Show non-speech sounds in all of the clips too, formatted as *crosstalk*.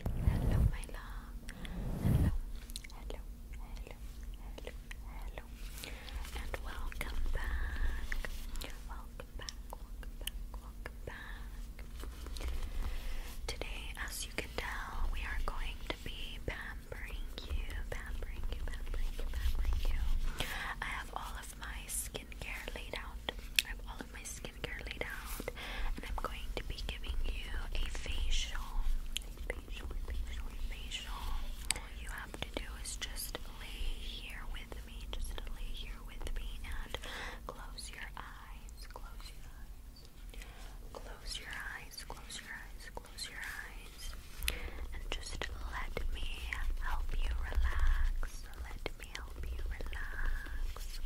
Hello, my love. Hello, hello, hello, hello, hello. And welcome back. Welcome back, welcome back, welcome back. Today, as you can tell, we are going to be pampering you, pampering you, pampering you, pampering you. I have all of my skincare laid out my skincare laid out, and I'm going to be giving you a facial. a facial. All you have to do is just lay here with me, just lay here with me, and close your eyes. Close your eyes. Close your eyes. Close your eyes. Close your eyes, and just let me help you relax. Let me help you relax.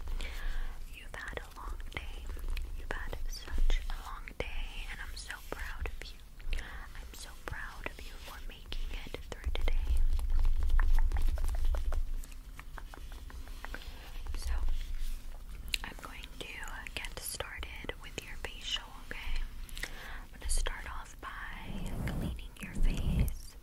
You've had a long day. You've had such a long day, and I'm so proud of you. I'm so proud of you for making it through today. So, I'm going to get started with your facial, okay? I'm going to start off by cleaning your face. Okay.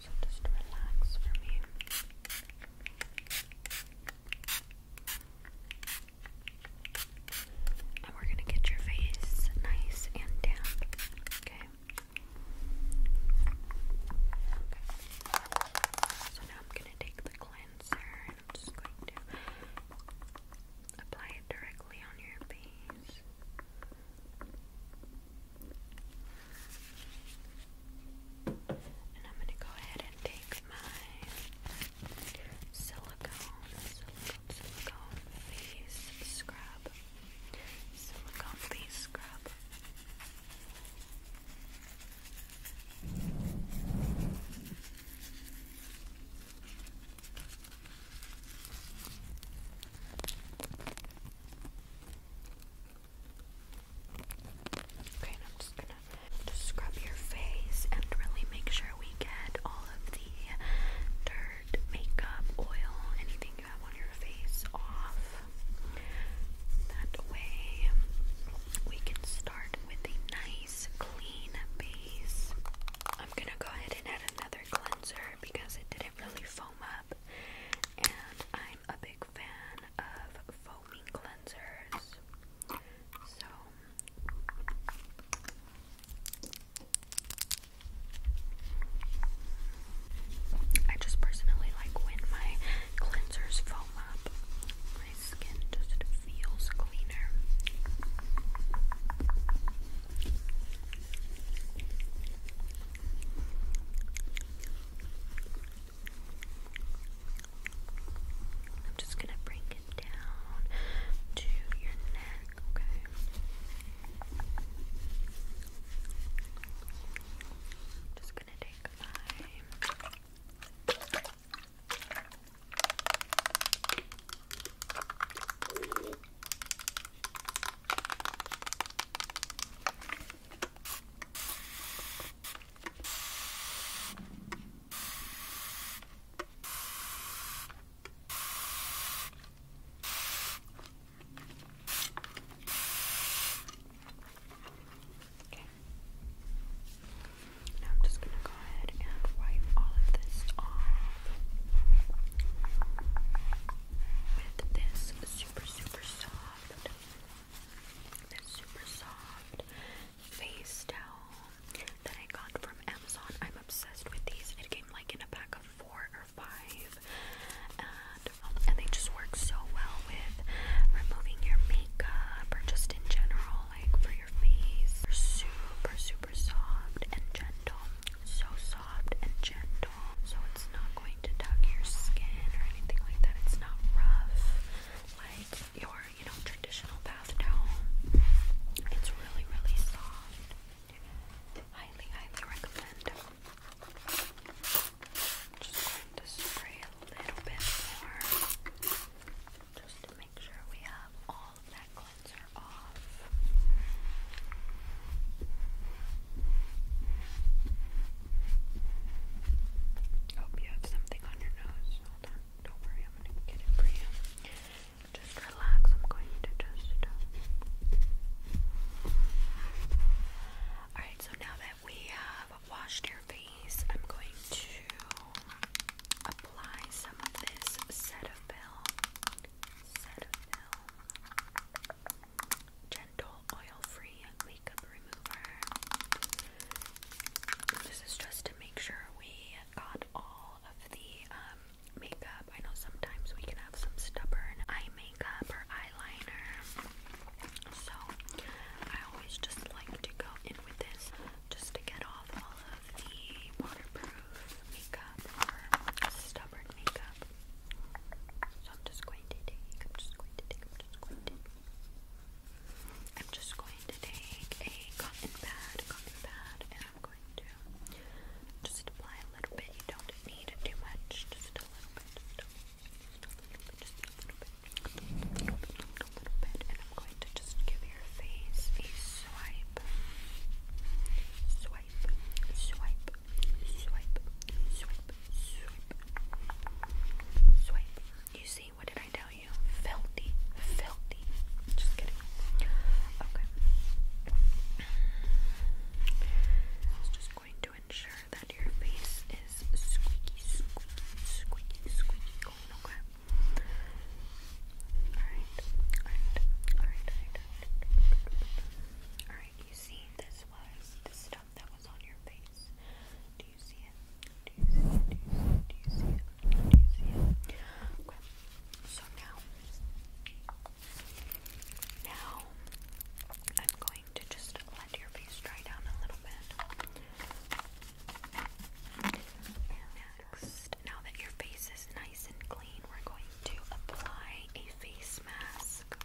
So just relax for me. And we're gonna get your face nice and damp. Okay. So now I'm gonna take the cleanser and I'm just going to apply it directly on your face. And I'm going to go ahead and take my silicone, face scrub, silicone face scrub. Okay, and I'm just gonna scrub your face and really make sure we get all of the dirt, makeup, oil, anything you have on your face off. That way we can start with a nice clean base. I'm gonna go ahead and add another cleanser because it didn't really foam up, and I'm a big fan of foaming cleansers. So I just personally like when my cleansers foam up. My skin just feels cleaner. I'm just gonna bring it down to your neck, okay? I'm just gonna take my Okay. Now I'm just going to go ahead and wipe all of this off with this super, super soft super soft face towel that I got from Amazon. I'm obsessed with these. It came like in a pack of four or five, and um, and they just work so well with removing your makeup or just in general, like for your face. super super soft and gentle. So soft and gentle so it's not going to tug your skin or anything like that. It's not rough like your, you know, traditional bath towel. It's really, really soft. Highly, highly recommend. Just going to spray a little bit more, just to make sure we have all of that cleanser off. Hope you have something on your nose. Hold on. Don't worry, I'm going to get it for you. Just relax. I'm going to just. Uh, Alright, so now that we have washed your face, I'm going to apply some of this Cetaphil. Cetaphil. Gentle oil-free makeup remover. This is just to make sure we got all of the um, makeup. I know sometimes we can have some stubborn eye makeup or eyeliner. So I always just like to go in with this just to get off all of the waterproof makeup or stubborn makeup. So I'm just going to take, I'm just going to take, I'm just going to I'm just going to take a cotton pad, cotton pad, and I'm going to just apply a little bit. You don't need too much, just a little bit, just a little bit, just a little bit, just a little bit, just a little bit, and I'm going to just give your face a swipe, swipe, swipe, swipe, swipe, swipe, swipe, You see, what did I tell you? Filthy, filthy. Just kidding. Okay. I was just going to ensure that your face is squeaky, squeaky, squeaky, squeaky clean, okay? alright, alright, alright. Alright, you see this was the stuff that was on your face. Do you see it? Do you see it? Do you see it? Do you see it? Okay. So now, now I'm going to just let your face dry down a little bit. Next, now that your face is nice and clean, we're going to apply a face mask.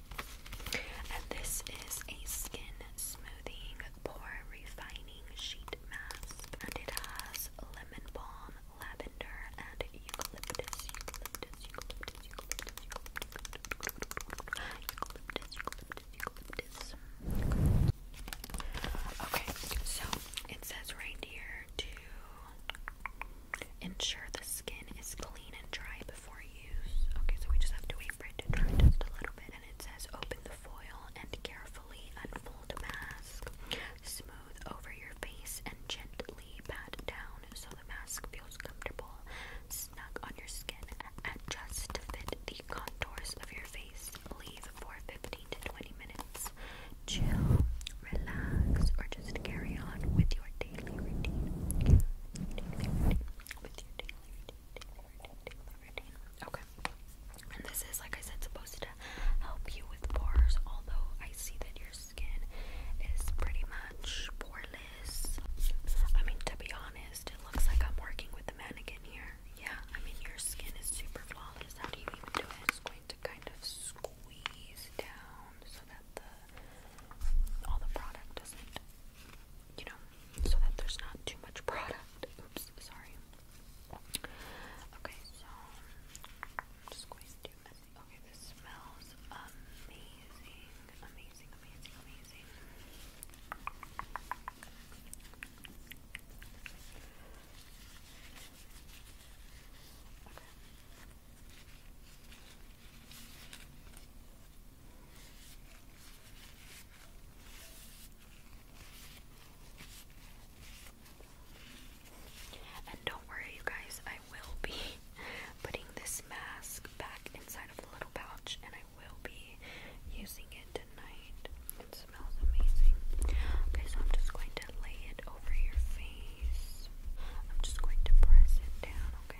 And this is a skin smoothing pore refining sheet mask. And it has lemon balm, lavender, and eucalyptus. Eucalyptus, Okay, so it says right here to ensure the skin is clean and dry before use. Okay, so we just have to wait for it to dry just a little bit. And it says open the foil and carefully unfold the mask. Smooth over your face and gently pat down so the mask feels comfortable, snug on your skin, and just to fit the contours of your face. Leave for 15 to 20 minutes. Chill, relax, or just carry on With your daily routine. Okay. And this is, like I said, supposed to help you with pores, although I see that your skin is pretty much poreless. I mean, to be honest, it looks like I'm working with the mannequin here. Yeah, I mean, your skin is super flawless. How do you even do it? It's going to kind of squeeze down so that all the product doesn't you know, so that there's not too much product. Oops, sorry. Okay, so I'm just going to do messy. Okay, this smells amazing. Amazing, amazing, amazing. Okay. And don't worry, you guys, I will be *laughs* putting this mask back inside of the little pouch and I will be using it tonight. It smells amazing. Okay, so I'm just going to lay it over your face. I'm just going to press it down, okay?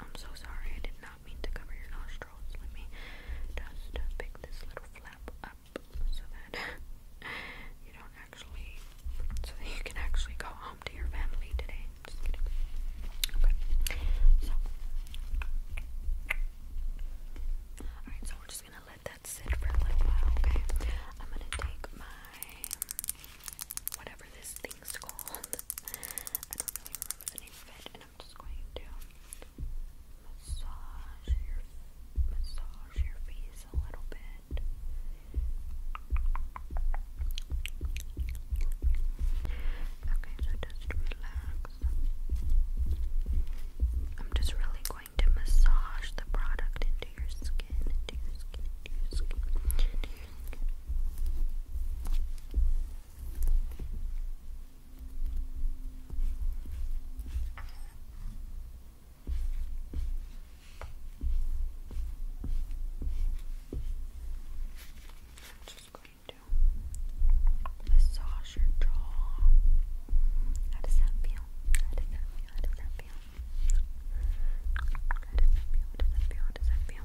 I'm so sorry, I did not mean to cover your nostrils. Let me just pick this little flap up so that *laughs* you don't actually, so that you can actually go home to your family today. Okay. So, alright, so we're just gonna let that sit for a little while, okay? I'm gonna take my whatever this thing's called. *laughs* I don't really remember the name of it, I'm just going to massage your massage your face a little bit. Okay, so just relax. I'm just really going to massage the product into your skin, into your skin, into your skin, just going to massage your jaw. How does that feel? How does that feel? How does that feel? How does that feel? How does that feel?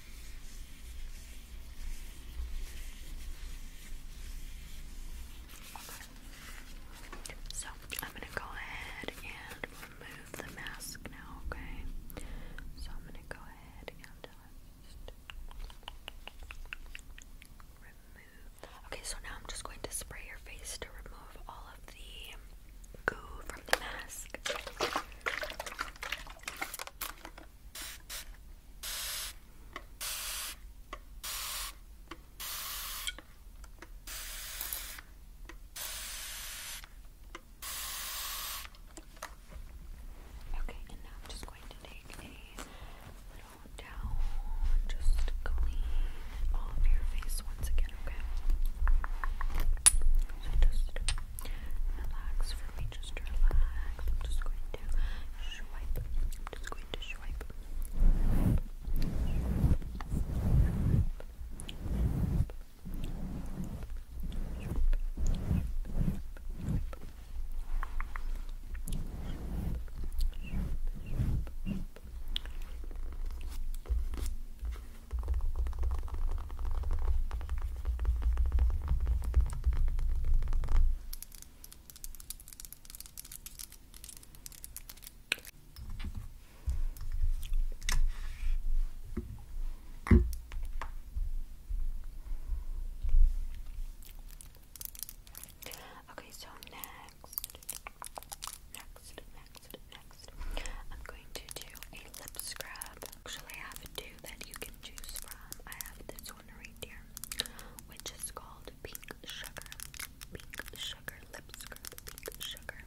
Okay. So I'm gonna go ahead and remove the mask now, okay? So I'm gonna go ahead and remove. Okay, so now I'm just going to spray your face to remove all of the goo from the mask. Okay, and now I'm just going to take a little towel and just clean all your face once again, okay? relax for me, just relax. I'm just going to swipe. I'm just going to swipe. swipe Okay, so next, next, next, next, I'm going to do a lip scrub actually have two that you can choose from. I have this one right here, which is called Pink Sugar. Pink Sugar Lip Scrub. Pink Sugar.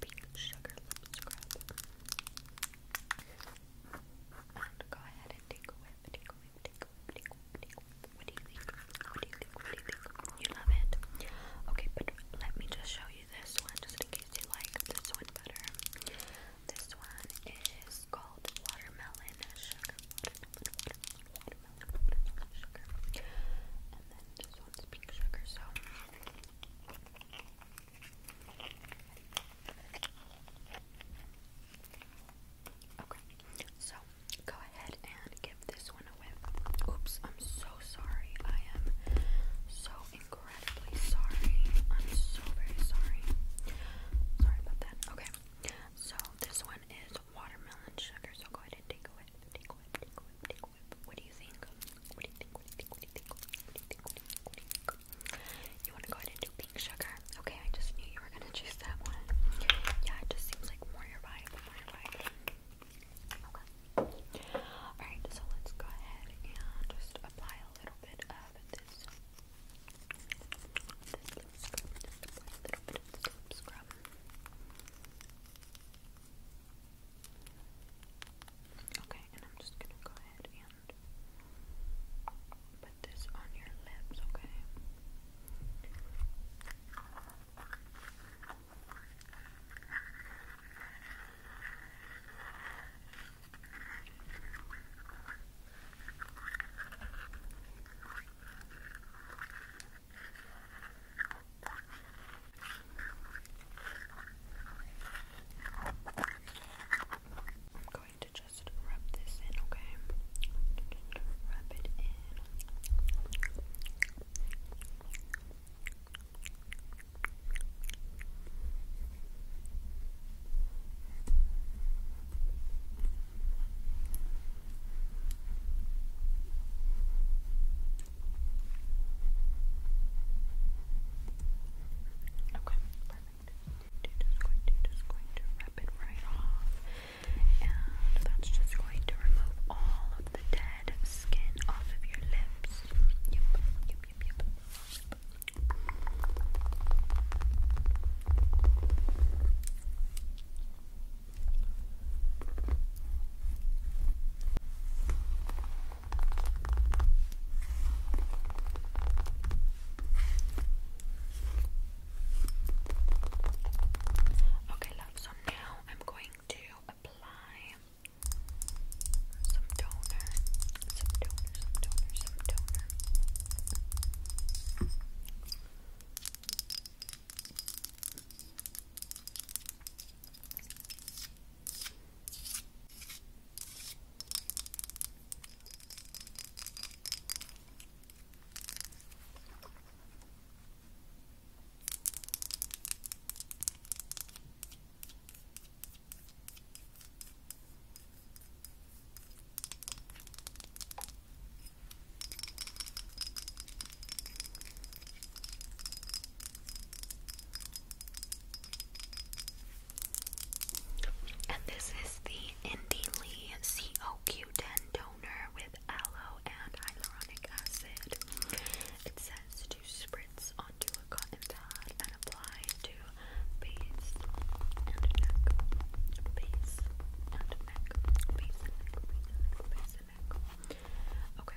Pink Sugar Lip Scrub. And go ahead and take a whip, take a whip, take a whip, take a whip, take a whip. What do you think? What do you think? What do you think? You love it? Okay, but let me just show this one just in case you like this one better. This one is called watermelon sugar. Watermelon, And then this one's pink sugar, so Okay, so go ahead and give this one a whip. Oops, I'm so sorry. I am so incredibly sorry. I'm so very sorry. Sorry about that. Okay. So this one is watermelon sugar. So go ahead and take a whip. Take a whip. Take a whip. What do you think? What do you think? What do you think? What do you think? What do you think? What do you think? you want to go ahead and do pink sugar? Okay, I just knew you were gonna choose that one. Yeah, it just seems like more your vibe. Alright, so let's go ahead and just apply a little bit of this. Okay, and I'm just gonna go ahead and put this on your lips, Okay, I'm going to just rub this in, okay? Rub it in. Okay, perfect. Dude is going to just going to rip it right off. And that's just going to remove all of the dead skin off of your lips yep, yep. Okay, love, so now I'm going to apply some toner, some toner, some toner, some toner. Okay. And this is the Indie Lee COQ10 toner with aloe and hyaluronic acid. It says to spritz onto a cotton pad and apply to face and neck, face and neck, face and neck, face and neck, face and neck. Okay.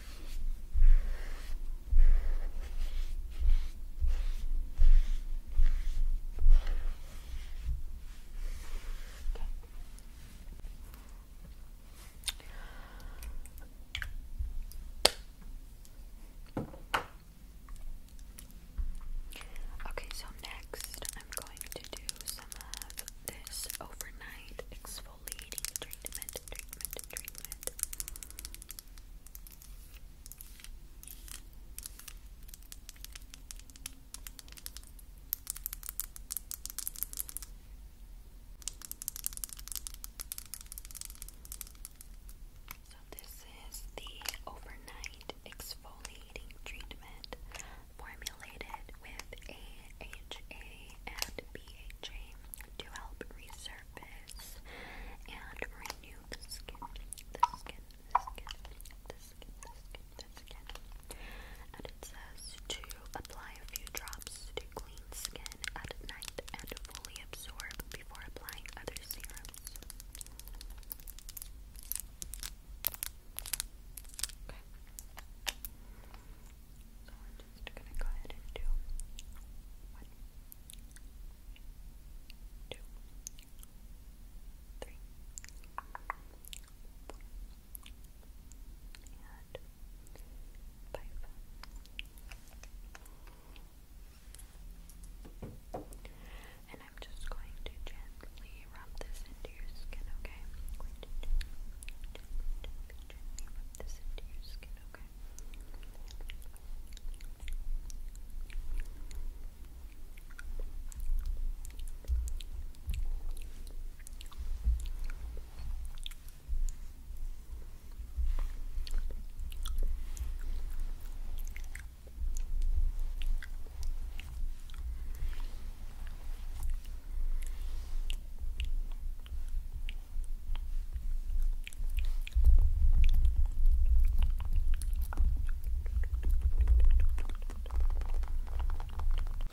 Okay, so next I'm going to do some of this overnight exfoliating treatment treatment, treatment, So this is the overnight exfoliating treatment formulated with AHA and BHA to help resurface and renew the skin, the skin, the skin, the skin, the skin, the skin. And it says to apply a few drops to clean skin at night and fully absorb before applying other serums. So we're just gonna go ahead and do one, two, three, four, and five. And I'm just going to gently rub this into your skin, okay? rub this into your skin, Okay.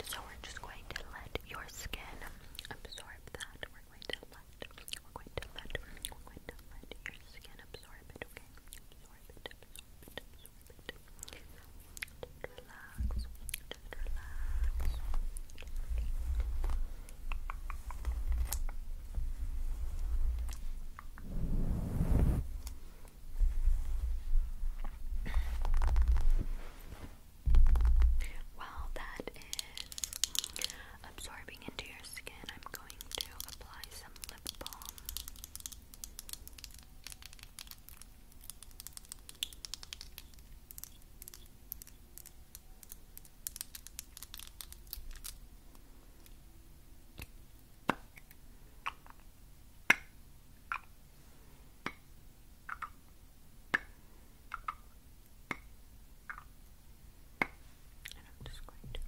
So we're just going to let your skin absorb that. We're going to let we're going to let we're going to let your skin absorb it, okay? relax. that is absorbing into your skin, I'm going to apply some lip balm. I'm just going to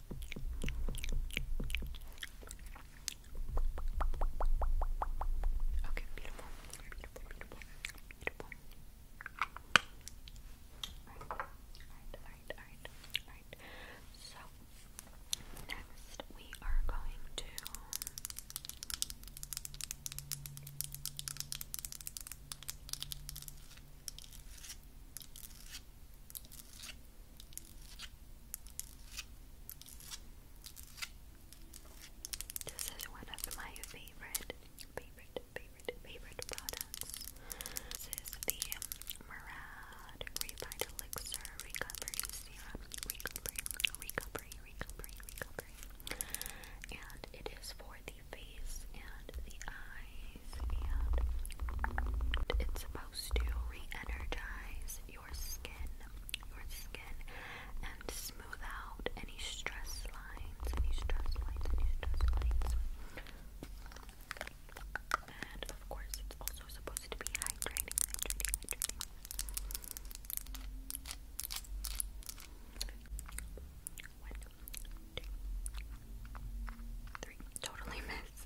Okay, beautiful. Beautiful, beautiful, beautiful. Alright, alright, alright, alright, So, next we are going to. This is one of my favorite, favorite, favorite, favorite products. This the Murad Refined Elixir Recovery Serum. Recovery, recovery, recovery, recovery. And it is for the face and the eye days, and it's supposed to re-energize your skin, your skin, and smooth out any stress lines, any stress lines, any stress lines. And of course, it's also supposed to be hydrating, hydrating, hydrating. One, two, three. Totally missed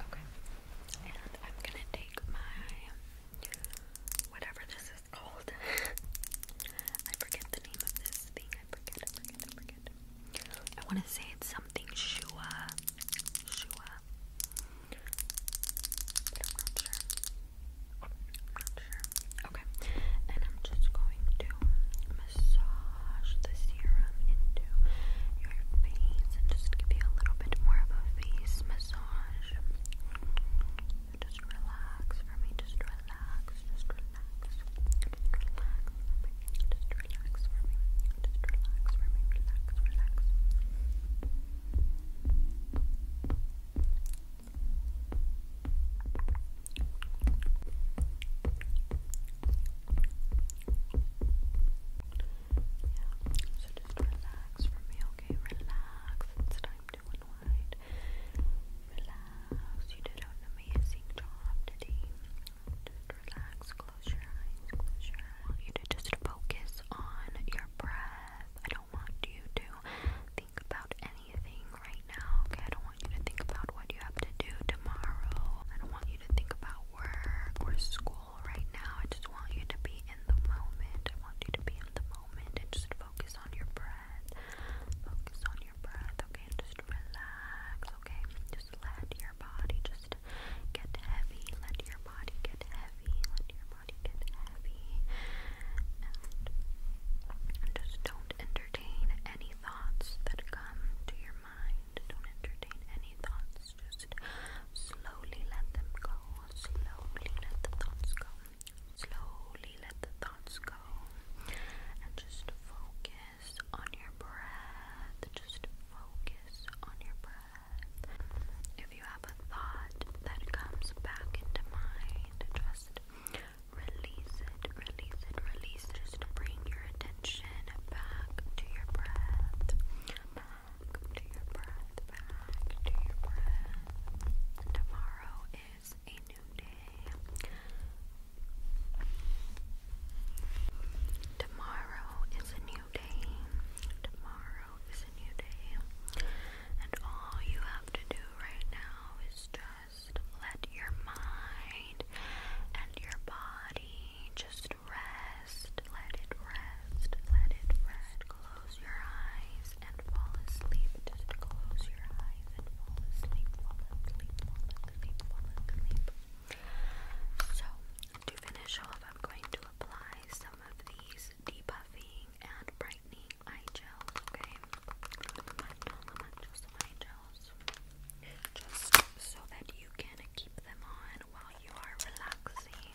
Okay. And I'm gonna take my whatever this is called. *laughs* I forget the name of this thing. I forget, forget, forget. I wanna say it's something Shua. Shua. Okay. And I'm just going to massage the serum into your face and just give you a little bit more of a face massage. Just relax for me, just relax, just relax, relax for me, just relax for me, just relax for me, relax, relax so just relax for me, okay? Relax. It's time to unwind. Relax. You did an amazing job today. Just relax. Close your eyes. Close your eyes. I want you to just focus on your breath. I don't want you to think about any right now. Okay, I don't want you to think about what you have to do tomorrow. I don't want you to think about work or school right now. I just want you to be in the moment. I want you to be in the moment and just focus on your breath. Focus on your breath, okay? And just relax, okay? Just let your body just get heavy. Let your body get heavy. Let your body get heavy. and just don't enter entertain any thoughts that come to your mind. Don't entertain any thoughts. Just slowly let them go. Slowly let the thoughts go. Slowly let the thoughts go. And just focus on your breath. Just focus on your breath. If you have a thought that comes back into mind, just Release it, release it, release it. Just bring your attention back to your breath. Back to your breath, back to your breath. Tomorrow is a new day. Tomorrow is a new day. Tomorrow is a new day. And all you have to do right now is just let your mind and your body just rest. Let it rest. Let it rest. Close your eyes and fall asleep. Just close your eyes and fall asleep. Fall asleep. Fall asleep. Fall asleep. So, to finish off, I'm going to apply some of these debuffing and brightening eye gels, okay? Not so much, not eye gels just so that you can keep them on while you are relaxing.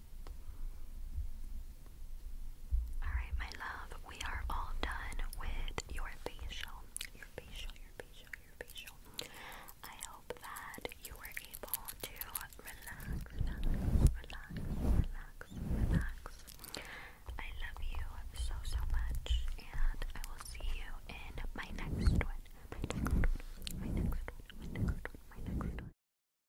Alright, my love, we are all done with your facial. Your facial, your facial, your facial. I hope that you were able to relax, relax, relax, relax, relax. I love you so, so much, and I will see you in my next one. My next one, my next one, my next one, my next one.